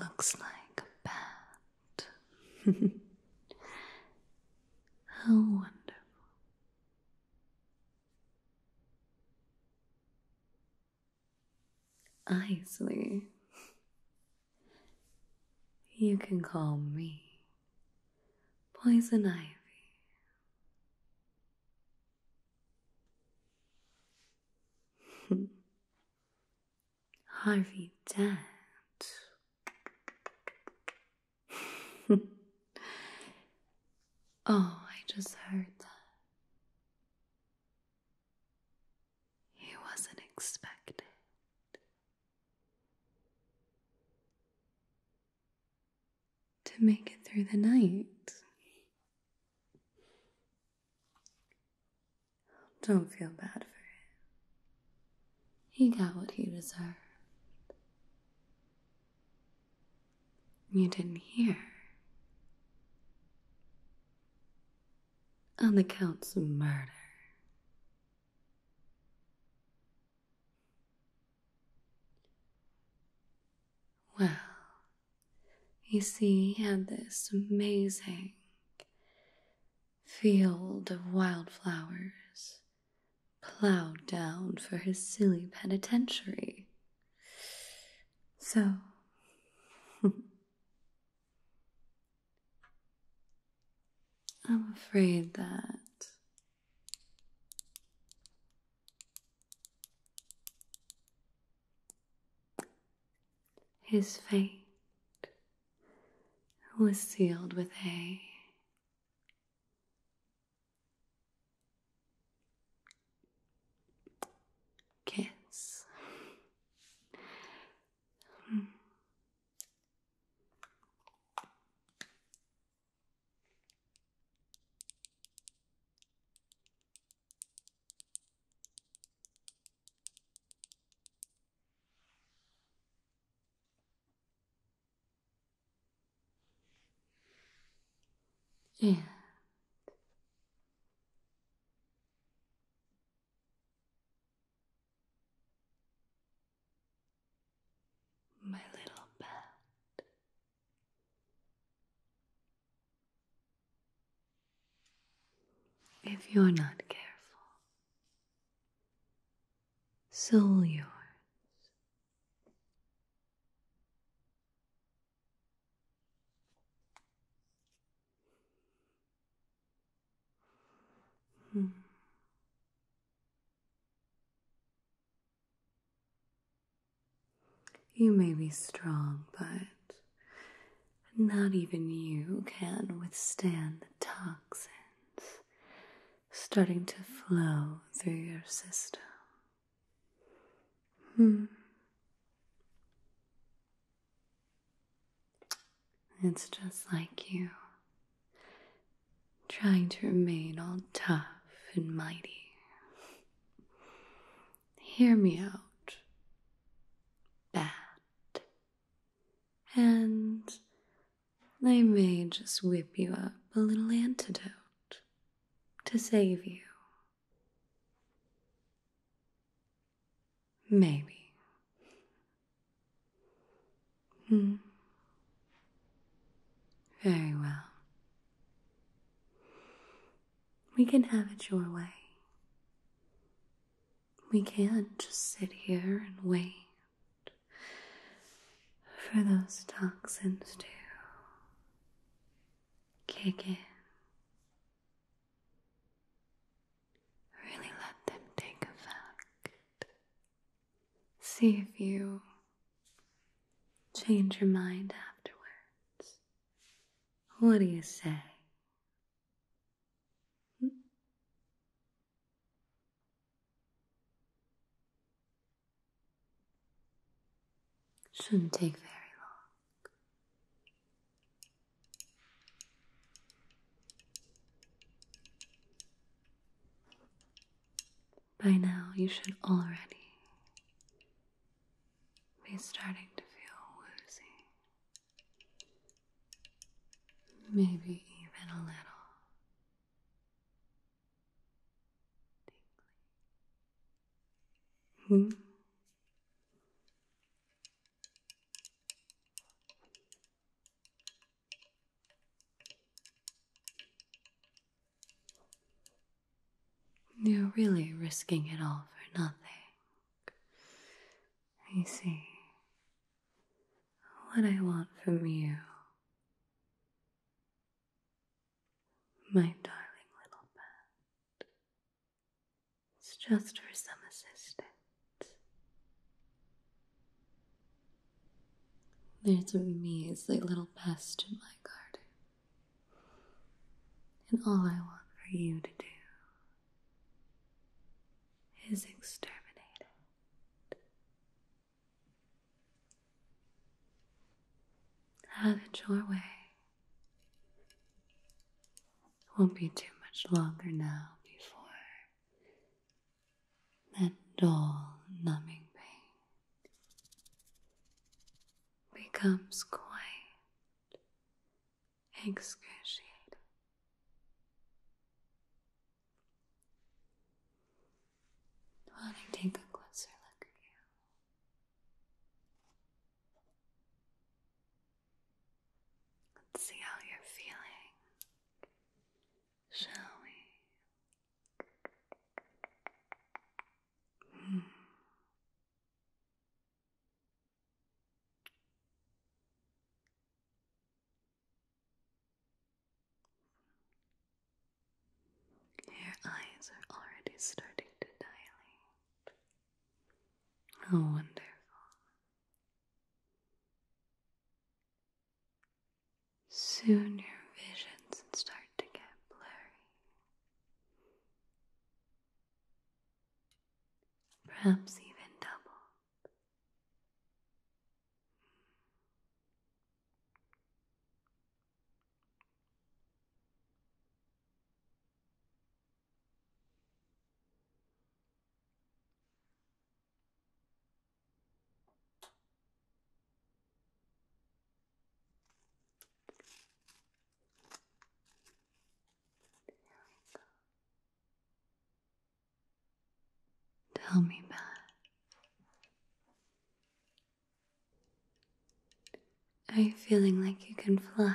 Looks like a bat. How wonderful. I You can call me Poison Ivy. Harvey Dent. oh, I just heard that. He wasn't expected. To make it through the night. Don't feel bad for him. He got what he deserved. You didn't hear. On the counts of murder. Well, you see, he had this amazing field of wildflowers plowed down for his silly penitentiary. So. I'm afraid that his fate was sealed with a kiss. Yeah, my little bat if you're not careful, soul yours. Hmm. You may be strong, but not even you can withstand the toxins starting to flow through your system. Hmm. It's just like you, trying to remain all tough and mighty hear me out. Bad. And they may just whip you up a little antidote to save you. Maybe. Hmm. Very well. We can have it your way. We can't just sit here and wait for those toxins to kick in. Really let them take effect. See if you Change your mind afterwards. What do you say? Shouldn't take very long. By now, you should already be starting to feel woozy. Maybe even a little. Hmm? You're really risking it all for nothing. You see, what I want from you, my darling little pet, is just for some assistance. There's a measly little pest in my garden. And all I want for you to do is exterminate it. Have it your way. won't be too much longer now before that dull, numbing pain becomes quite excruciating. While I take a closer look at you. Let's see how you're feeling, shall we? Your eyes are already starting to dilate. How wonderful. Soon your visions start to get blurry, perhaps even doubled. Tell me back. Are you feeling like you can fly?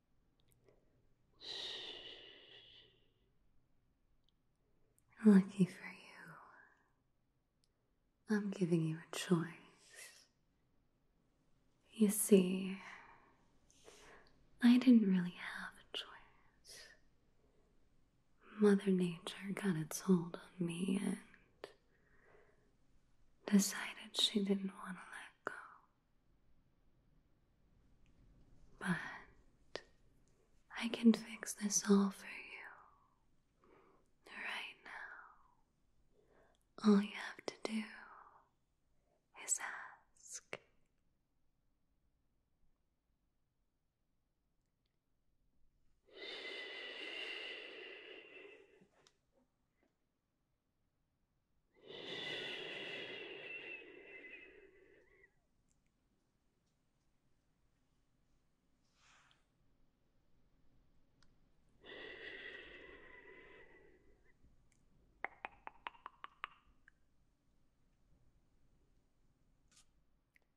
Lucky for you, I'm giving you a choice. You see, I didn't really have a choice. Mother Nature got its hold on me and decided she didn't want to let go. But I can fix this all for you right now. All you have to do is ask.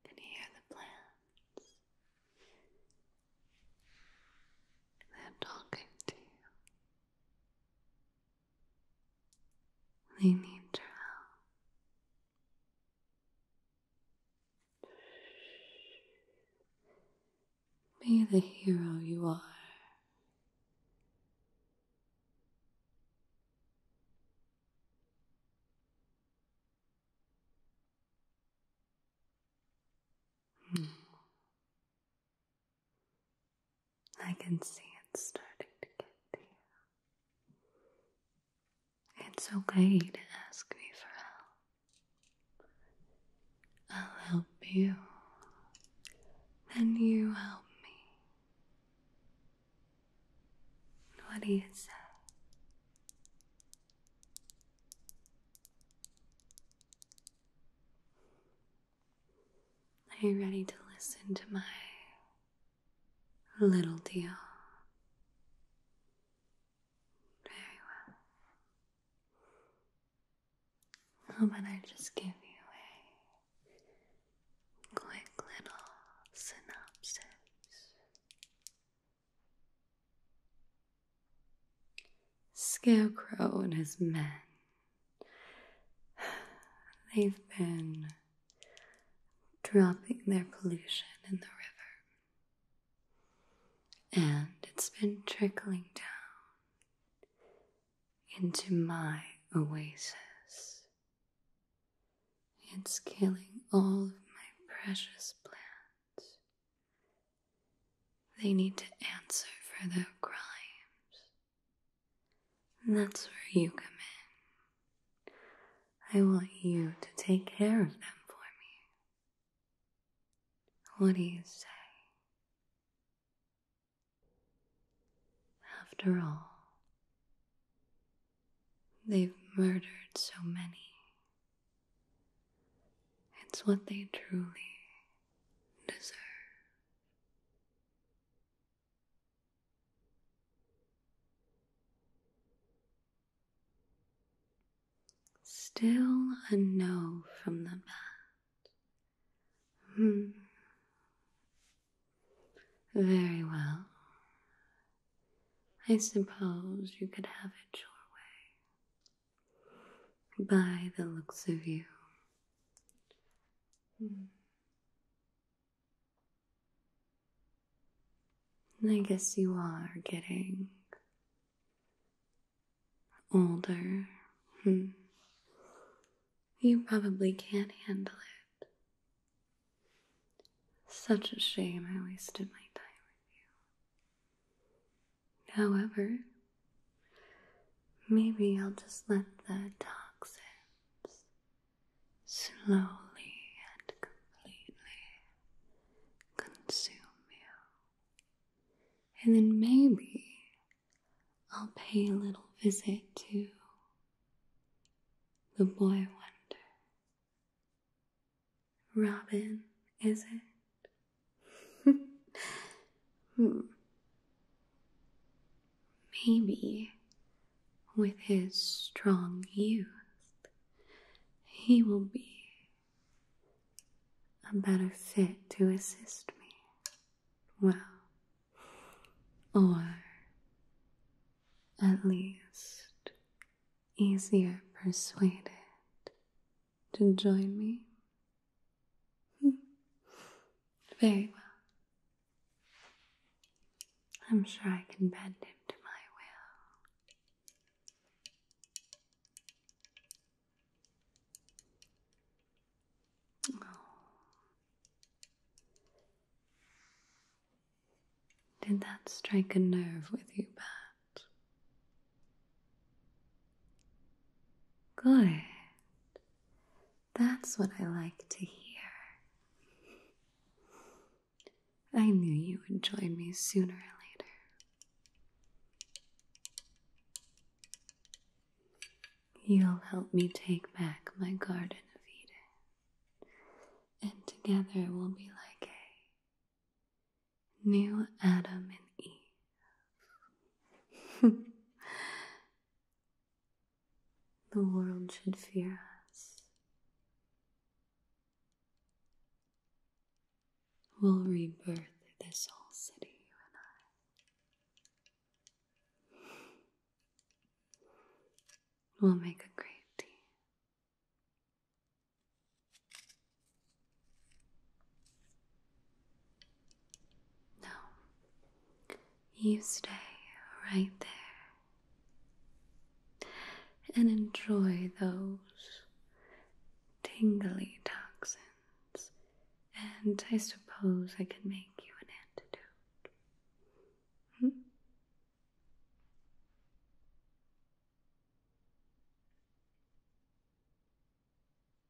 And here are the plants. They're talking to you. They need your help. Be the hero you are. Hmm. I can see it's starting to get to you. It's okay to ask me for help. I'll help you, and you help me. What do you say? Are you ready to listen to my little deal? Very well. How oh, I just give you a quick little synopsis? Scarecrow and his men They've been dropping their pollution in the river, and it's been trickling down into my oasis. It's killing all of my precious plants. They need to answer for their crimes. And that's where you come in. I want you to take care of them for me. What do you say? After all, they've murdered so many. It's what they truly deserve. Still a no from the bat. Hmm. Very well. I suppose you could have it your way. By the looks of you, Hmm. I guess you are getting older. Hmm. You probably can't handle it. Such a shame I wasted my time with you. However, Maybe I'll just let the toxins slowly and completely consume you. And then maybe I'll pay a little visit to the boy wonder. Robin, is it? Hmm. Maybe with his strong youth, he will be a better fit to assist me. Well, or at least easier persuaded to join me Hmm. Very well. I'm sure I can bend him to my will. Oh. Did that strike a nerve with you, Pat? Good. That's what I like to hear. I knew you would join me sooner or later. You'll help me take back my Garden of Eden, and together we'll be like a new Adam and Eve. The world should fear us. We'll rebirth this whole city, and I. We'll make a great team. No, you stay right there and enjoy those tingly toxins. And I suppose I can make you an antidote. Hmm?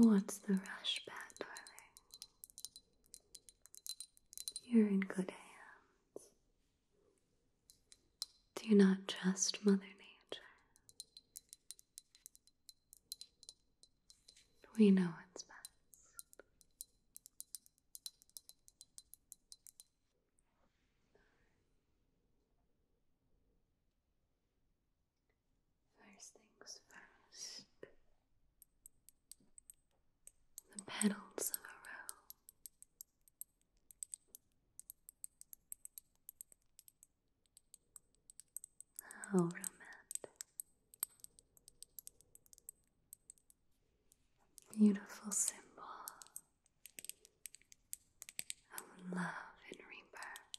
Oh, what's the rush, Pat, darling? You're in good hands. Do not trust Mother Nature? We know what's best. First things first. The petals of a rose. How romantic. Beautiful symbol of love and rebirth.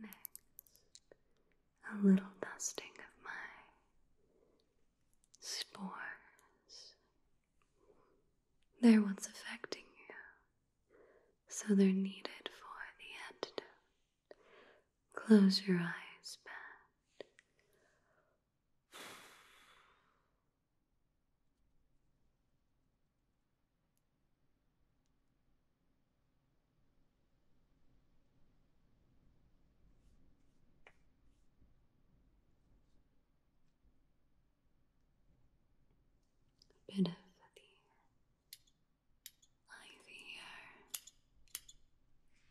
Next, a little dusting of my spores. They're what's affecting you, so they're needed for the antidote. Close your eyes, Pat. A bit of the ivy here.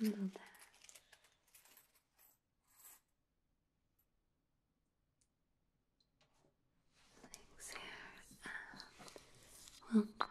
And handle that. Things here and we'll just mix that all up.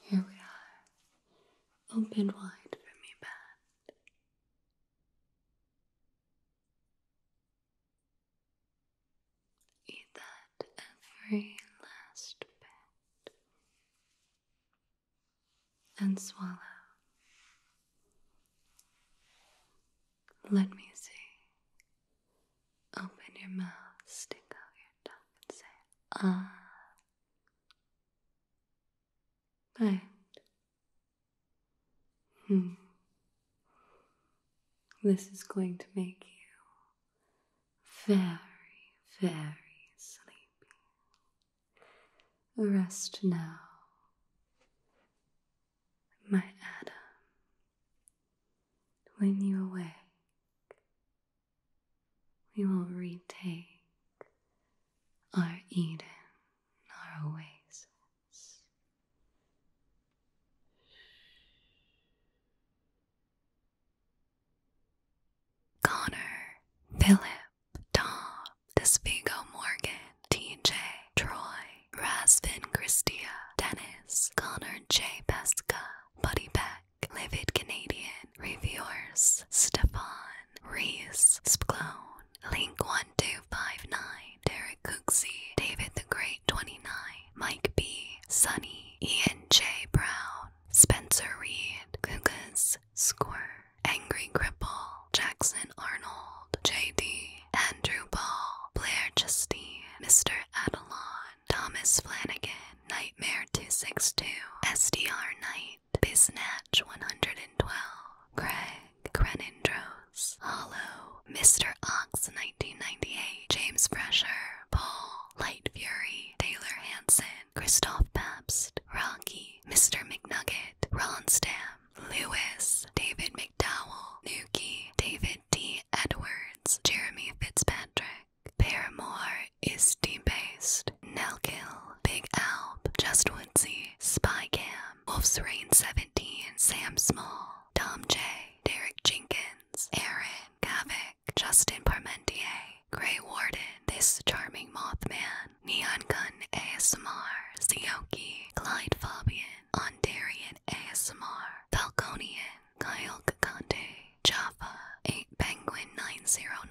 Here we are, open wide for me, Pat. Eat that every last bit and swallow. Let me see. Open your mouth, stick out your tongue, and say, Ah. But, Hmm. This is going to make you very, very sleepy. Rest now, my Adam. When you awake, we will retake our Eden, our oasis. Connor, Philip, Tom, Despigo Morgan, TJ, Troy, Rasvin Christia, Dennis, Connor J. Pesca, Buddy Pat livid Canadian reviewers Stefan Reese Spclone, Link1259, Derek Cooksey, David the Great 29, Mike B, Sunny, Ian J. Brown, Spencer Reed, Kugas Square, Angry Cripple, Jackson Arnold, J.D., Andrew Ball, Blair Justine, Mr. Adelon, Thomas Flanagan, Nightmare 262, SDR Knight, Biznatch 112, Craig, Crenindros, Hollow, Mr. Ox 1998, James Fresher, Paul, Light Fury, Taylor Hanson, Christoph Pabst, Rocky, Mr. McNugget, Ron Ronstam, Lewis, David McDowell, Nuki, David D. Edwards, Jeremy Fitzpatrick, Creek. Paramore is based, Nelkill, Big Alp, Just Woodsy, Spy Cam, Wolf's Rain 17, Sam Small, Tom J, Derek Jenkins, Aaron, Kavik, Justin Parmentier, Grey Warden, This Charming Mothman, Neon Gun ASMR, Sioki, Clyde Fabian, Ondarian ASMR, Falconian, Kyle Kakante, Jaffa, 8 Penguin 909,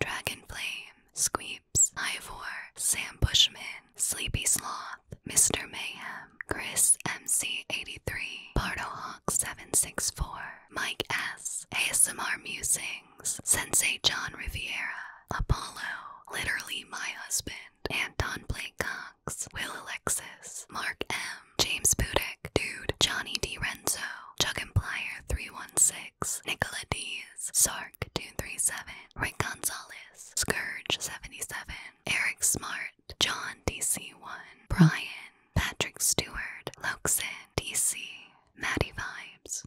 Dragon Flame, Squeeps, Ivor, Sam Bushman, Sleepy Sloth, Mr. Mayhem, Chris MC83, Hawk 764 Mike S, ASMR Musings, Sensei John Riviera, Apollo, Literally My Husband, Anton Blake Cox, Will Mark M, James Budick, Dude, Johnny D. Renzo, Chuck and Plier 316, Nicola D's, Sark 237, Rick Gonzalez, Scourge 77, Eric Smart, John DC1, Brian, Patrick Stewart, Loxin, DC, Maddie Vibes.